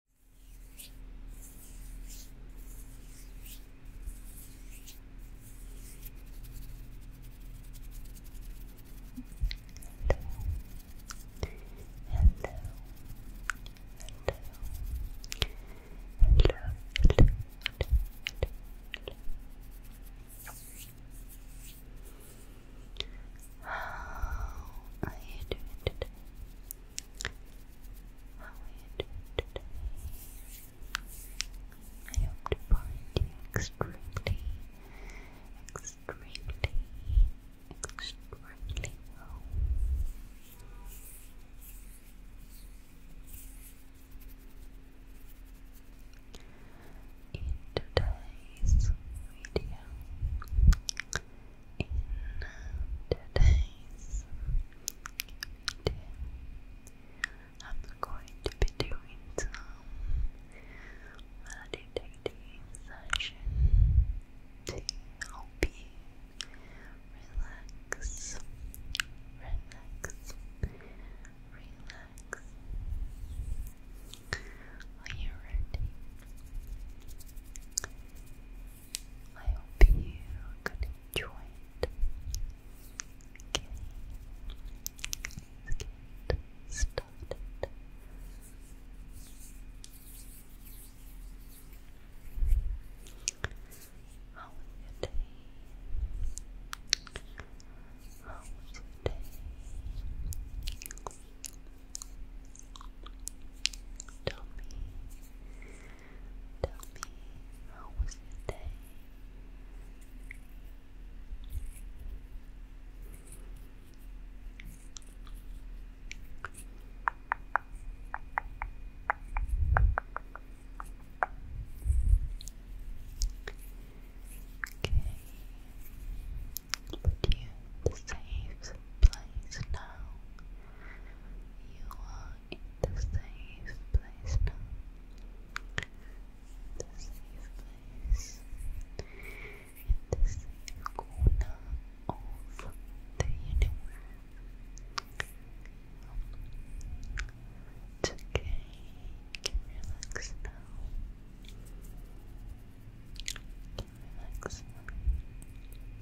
How are you doing today? How you I hope to find you extremely, extremely, extremely well. In today's video, in today's video, I'm going to be doing some meditating session to help you relax, relax, relax. Are you ready? I hope you could enjoy it. Okay, let's get started. How was your day? How was your day? Tell me, tell me, how was Okay, but you the safe place now. You are in the safe place now. The safe place. In the safe corner of the universe. okay. relax now. relax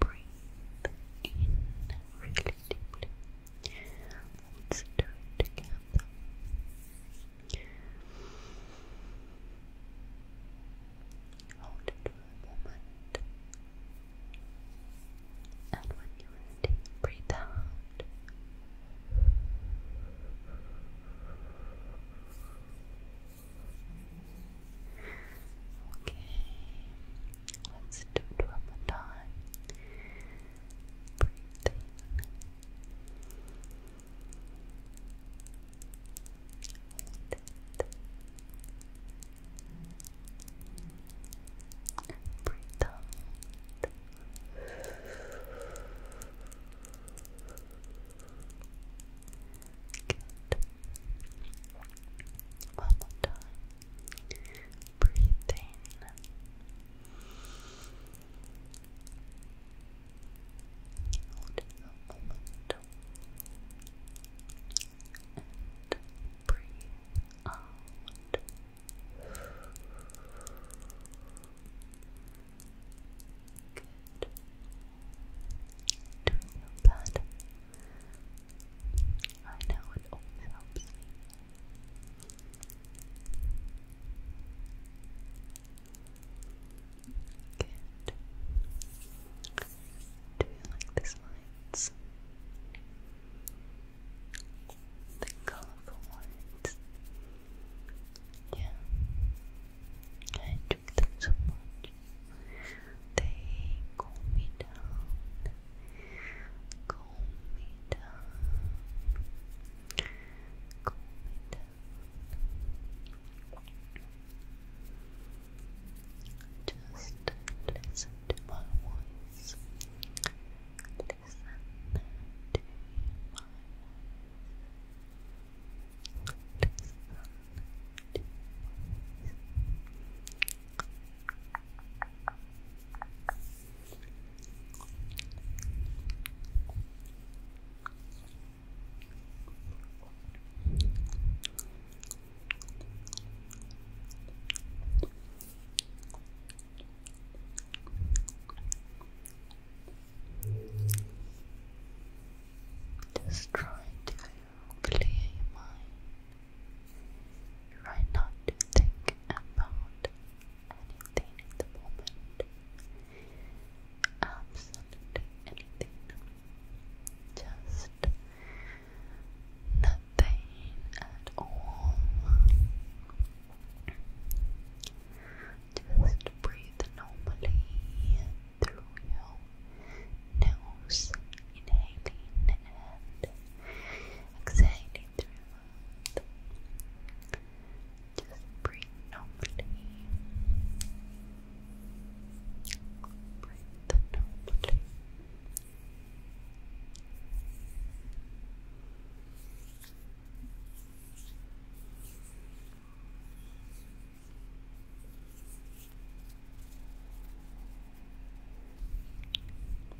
breathe in really deeply. Let's do it together. Hold it for a moment. And when you're ready, breathe out. Okay, Let's do it one more time. Breathe in. it. And breathe out. Good. One more time. Breathe in. Hold And breathe out. Good. Don't feel bad. I know it always helps me. Do you like these lights? The colorful ones. Yeah. I enjoy them so much. They cool me down. Calm me down. Calm me down. Just listen to my voice. Listen to my voice. Listen to my voice. Just trying clear mind. Try not to think about anything at the moment. Absolutely anything. Just nothing at all. Just breathe normally through your nose, inhaling and anxiety throughout. Just breathe normally. Breathe normally.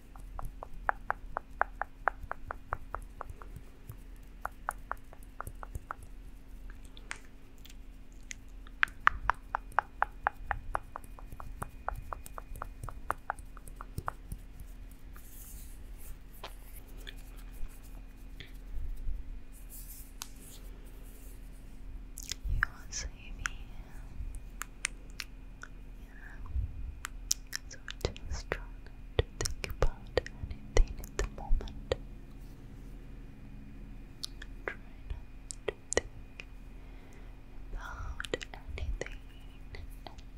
You are sleepy. So just try to think about anything at the moment. Try to think about anything at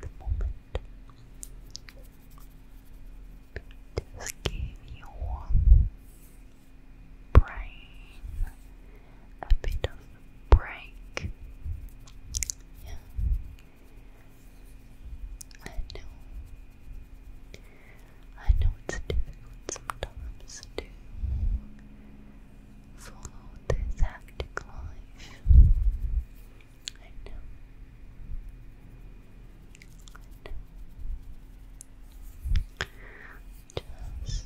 the moment. Just give your brain a bit of a break. I know. I know it's difficult sometimes to follow this hectic life. I know. Just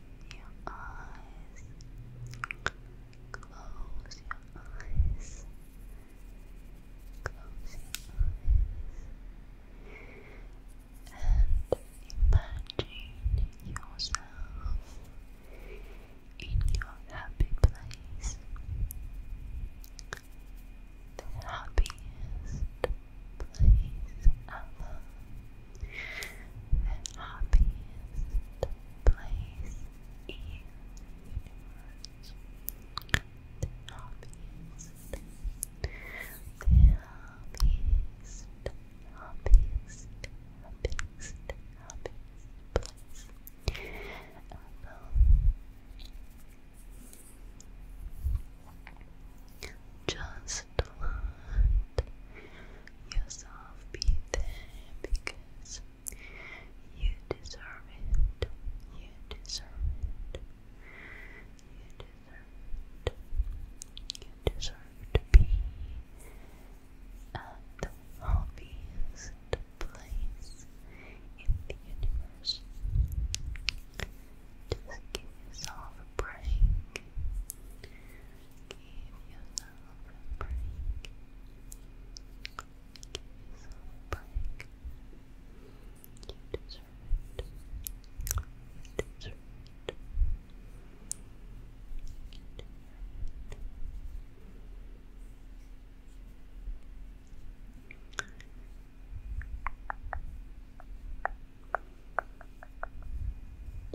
your eyes. Close your eyes. Close your eyes. And imagine yourself in your happy place. The happiest place ever the happiest place in the universe. The happiest, the happiest, happiest, happiest, happiest place. just a lot yourself be there because you deserve it. You deserve it. You deserve it. You deserve to be at the happiest place in the universe. Just give yourself a break. Give yourself a break. Give yourself a break. You deserve it. You deserve it. You deserve it.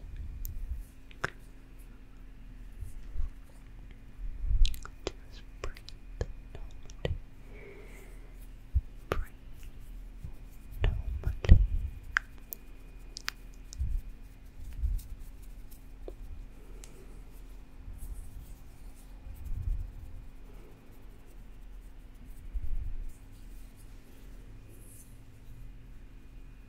Relax. Just breathe normally. Breathe normally. Just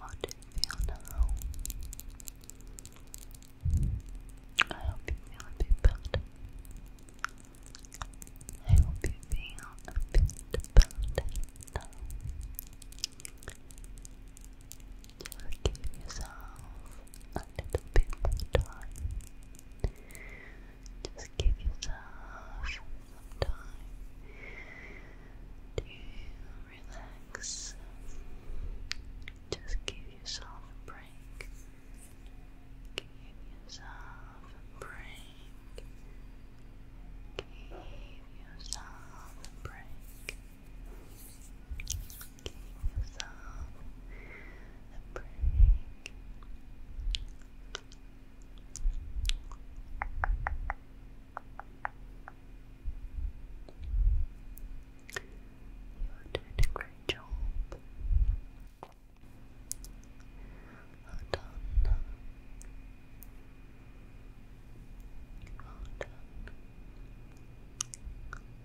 How you I hope you feel a bit better. I hope you feel a bit better now. Just give yourself a little bit more time. Just give yourself some time to relax. Just give yourself a break. Give yourself a break. Give yourself a break give yourself a break. You're doing a great job. Well done. Well done. Well done.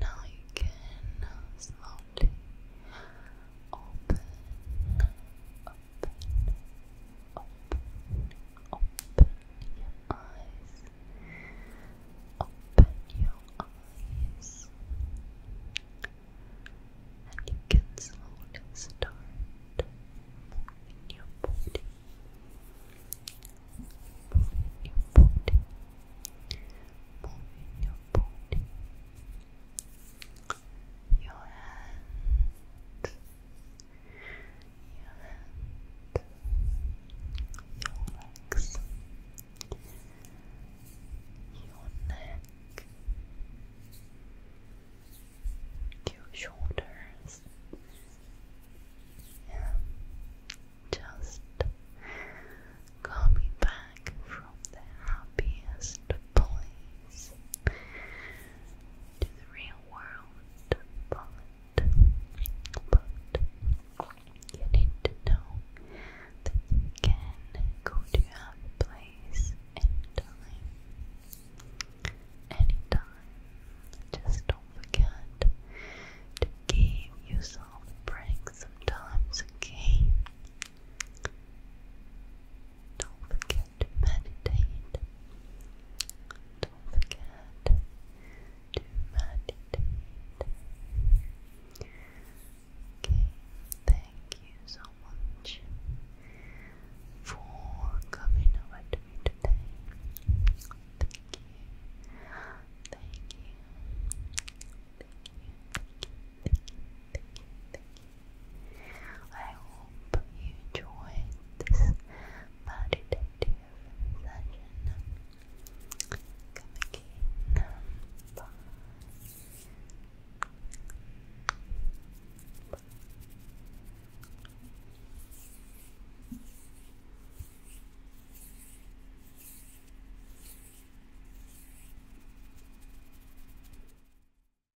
Now you can slowly open, Open, open, your eyes. Open your eyes. And you can slowly start moving your body. Moving your body. Moving your body your hand, your hand, your legs, your shoulders, and just coming back from the happiest point to the real world, but, but you need to know that you can go to any place, anytime, anytime. Just don't forget to give yourself a sometimes, Don't forget to meditate. Don't forget to meditate. Okay, thank you so much for coming over to me today. Thank you. Thank you. Thank you. Thank you. Thank you. Thank you. I hope you enjoyed this meditative session. Come again. Bye.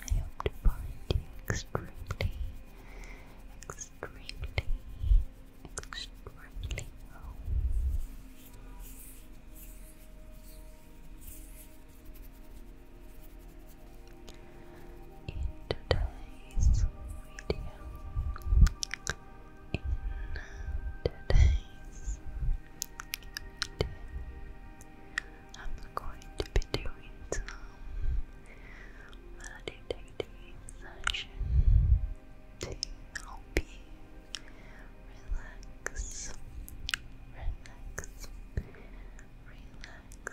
how you I hope to find you extremely, extremely, extremely home in today's video, I'm going to be doing some meditative session to help you relax, relax, relax.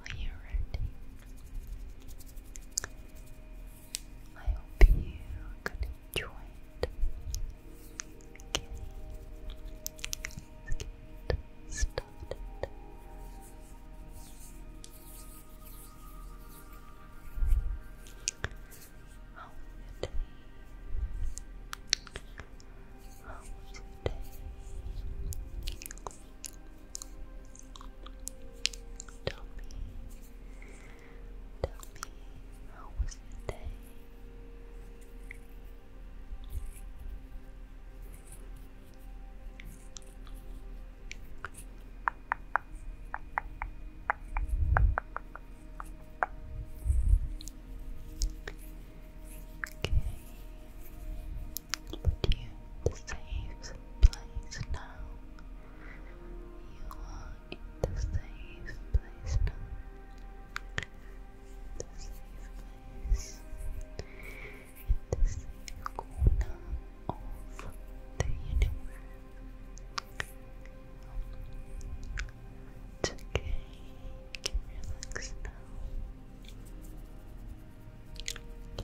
Are you ready? I hope you could enjoy it. Okay, started. How was your day? How was your day? Tell me, tell me, how was the day? Okay, put you in the safe place now. You are in the safe place The safe place. In the corner of the universe. okay. relax now. You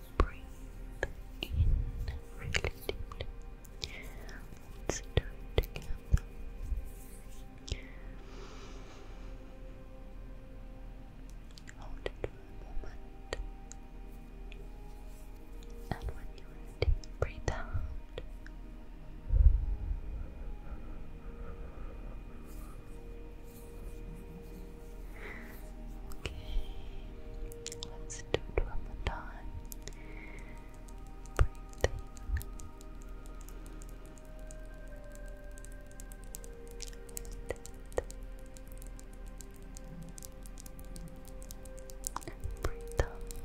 breathe in really deeply. let it together. Hold it for a moment. And when you're ready, breathe out. Okay, let's do it one more time. Breathe Breathe One more time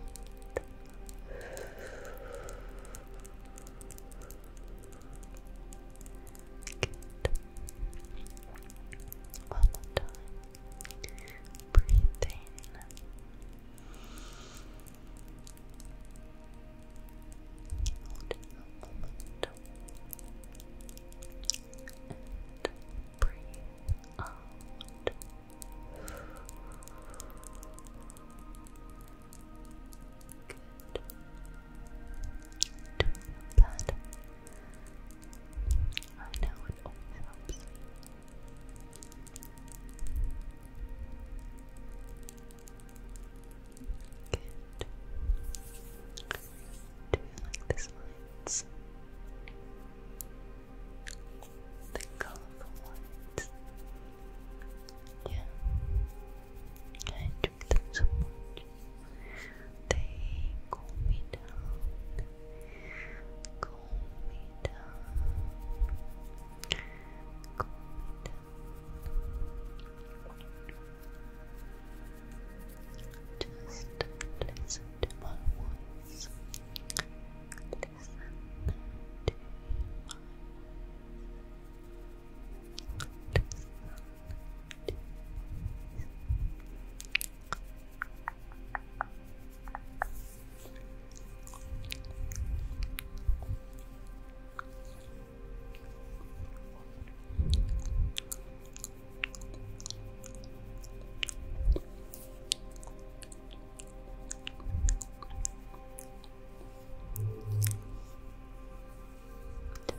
breathe in. Hold breathe out. Good. Do you feel better? I know it always helps me. Do you like these lights? The colorful Yeah. I enjoy them much. They cool me down, cool me down, cool me down. Just listen to my voice. Listen to my Listen to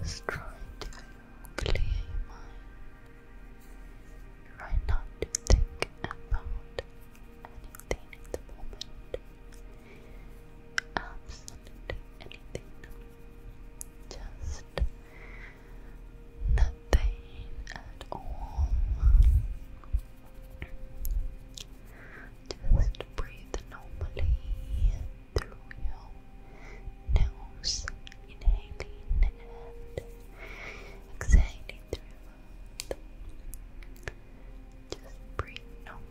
just trying to clear your Try not to think about anything at the moment. Absolutely anything. Just nothing at all. Just breathe normally through your nose inhaling and exhaling through your mouth. Just breathe normally. Breathe normally.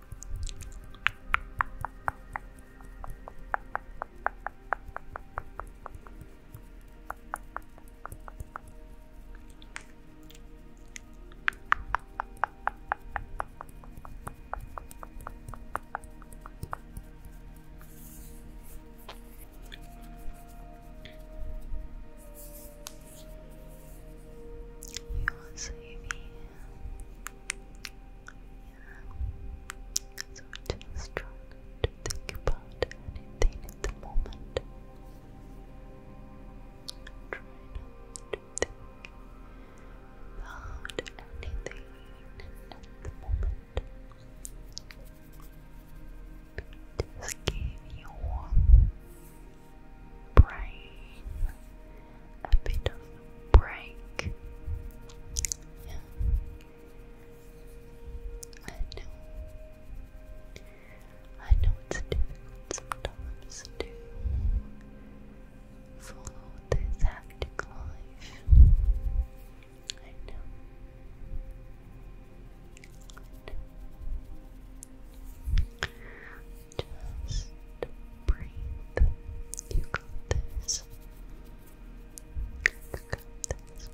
You are sleepy. So just try to think about anything at the moment. Try to think about anything at the moment. Just give your brain a bit of break. I know. I know it's difficult sometimes to follow this hectic life. I know. Just breathe. You got this. You got this.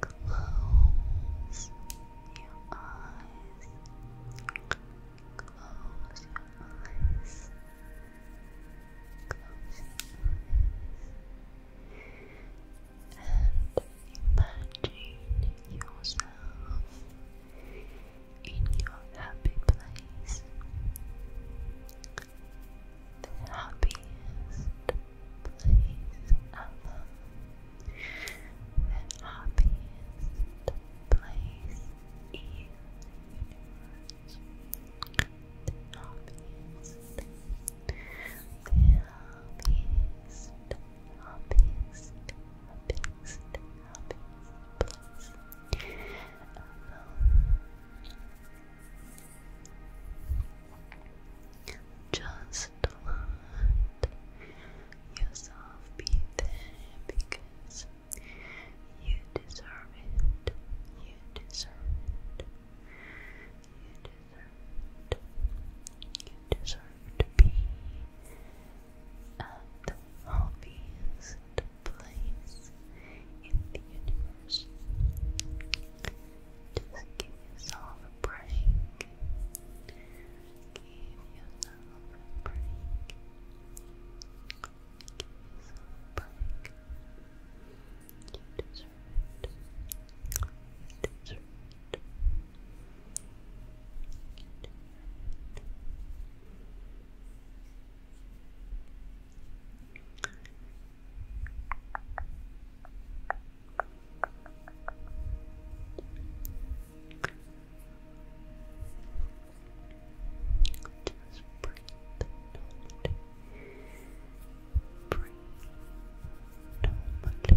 Close your eyes. Close your eyes. Close your eyes. And imagine yourself in your happy place. The happiest place ever. The happiest place in the universe. The happiest, the happiest, happiest, happiest, happiest place. Alone. Just just let yourself be there because you deserve it. You deserve it. You deserve it. You deserve to be at the happiest place in the universe. Just give yourself a break. Give yourself a break. Give yourself a break. You just breathe. Normally. Breathe normally. Just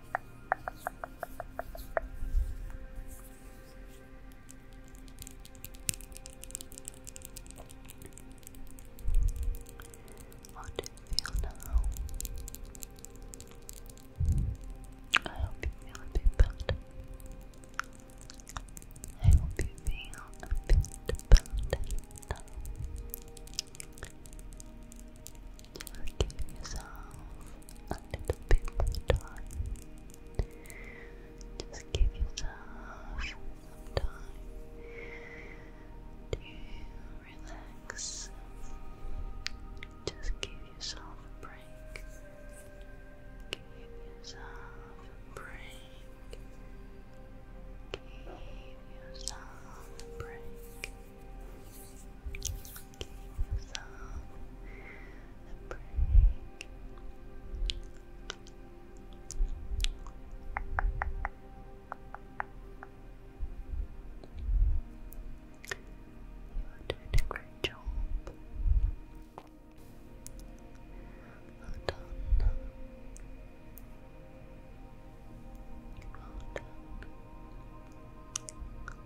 How do you feel now? I hope you feel a bit better. I hope you feel a bit better now. You give yourself a little bit more time. Just give yourself some time to relax. Just give yourself a break. Give yourself a break. Give yourself a break give You are doing a great job. Well done. Well done.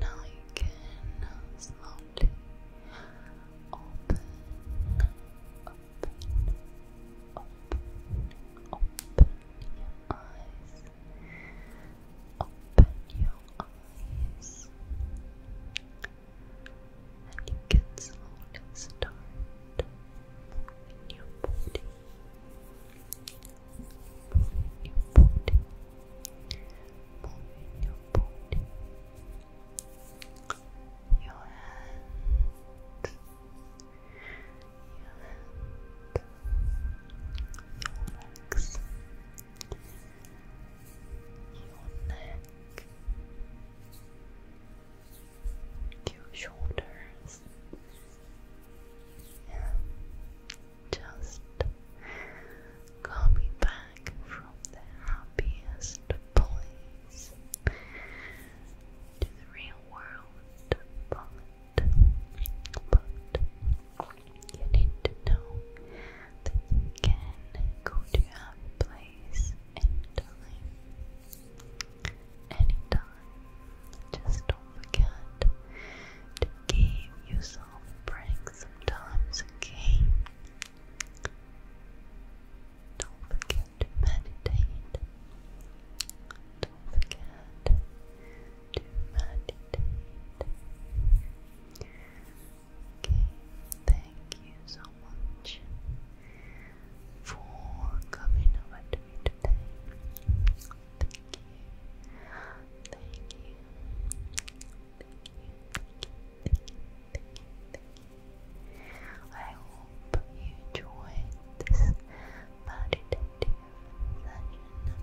Now you can slowly open open, open your eyes, open your eyes, and you can slowly start moving your body, moving your body. Moving your body, your hand, your neck, your shoulders, and just coming back from the happiest point us to the real world, but, but you need to know that you can go to any place anytime, anytime. Just don't forget to give yourself a break sometimes, okay? Don't forget to meditate. Don't forget to meditate. Okay, thank you so much for coming over to me today. Thank you. Thank you. Thank you. Thank you. Thank you. I hope you enjoyed this meditative session.